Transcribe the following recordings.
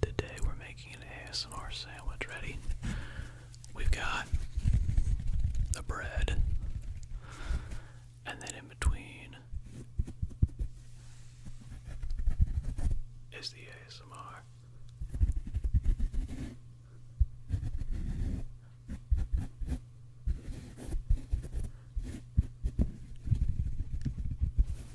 Today we're making an ASMR sandwich. Ready? We've got the bread, and then in between is the ASMR.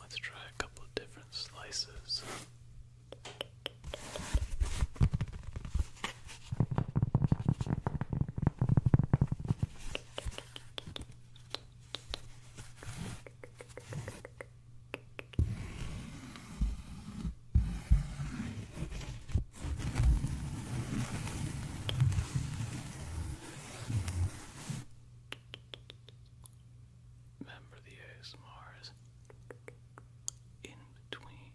Let's try a couple of different slices. Remember the ASMRs in between.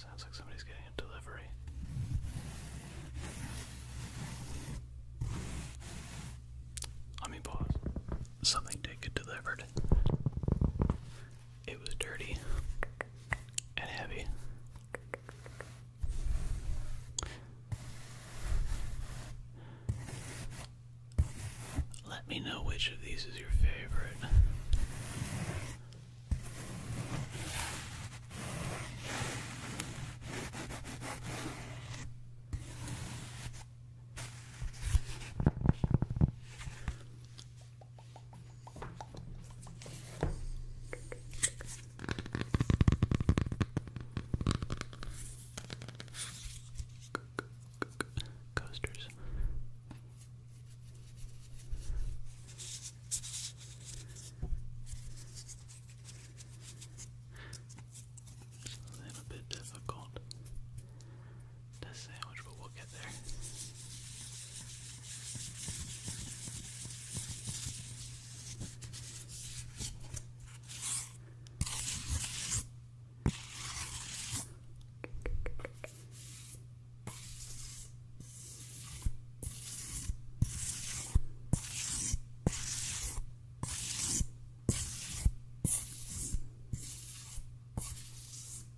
Sounds like somebody's getting a delivery. I mean, pause. Something did get delivered. It was dirty and heavy. Let me know which of these is your favorite. Coasters. It's a little bit difficult the sandwich, but we'll get there.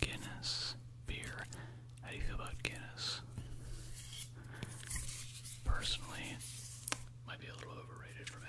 Guinness beer. How do you feel about Guinness? Personally, might be a little overrated for me.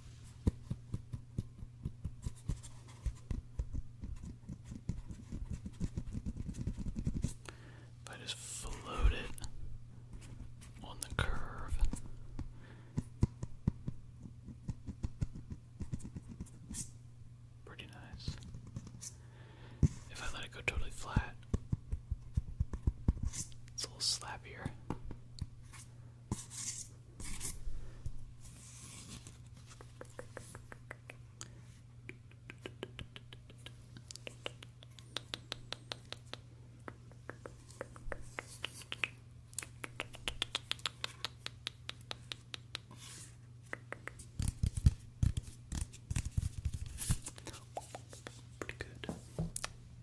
If I just float it on the curve. Pretty nice. If I let it go totally flat, it's a little slappier. Pretty good.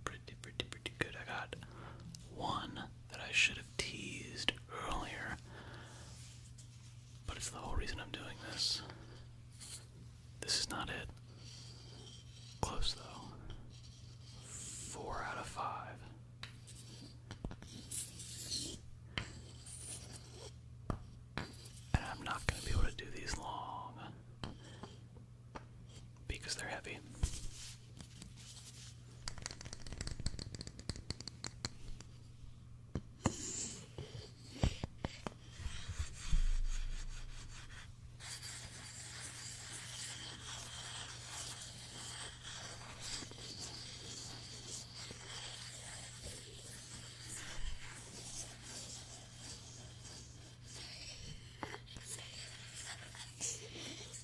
Pretty, pretty, pretty good. I got one, that I should have teased earlier. But it's the whole reason I'm doing this. This is not it. Close though. Four out of five. And I'm not going to be able to do these long because they're heavy.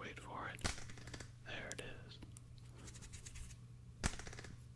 Wait for it. There it is.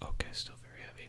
Okay, still very heavy.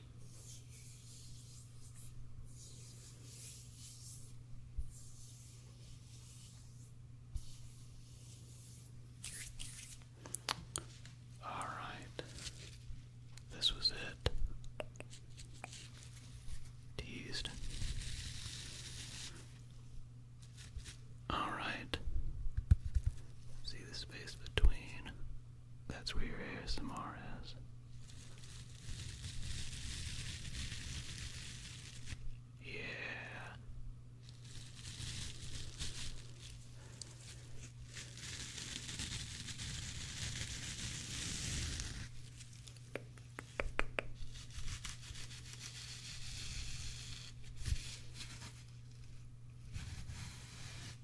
All right, this was it. Teased. All right, see the space between that's where your ASMR is. Yeah.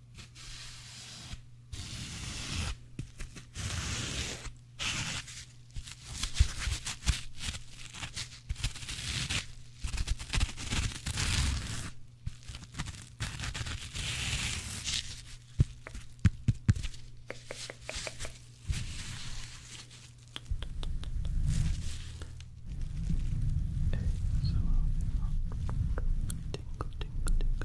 Tingle, tingle, tingle,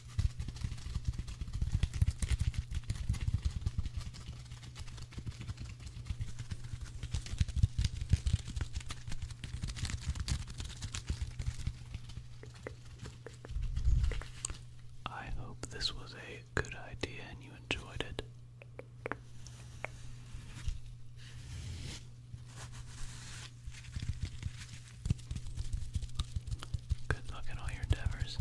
I hope this was a good idea and you enjoyed it. Good luck in all your endeavors.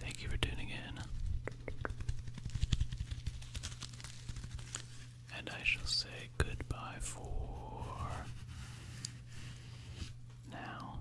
Thank you for tuning in, and I shall say goodbye for now.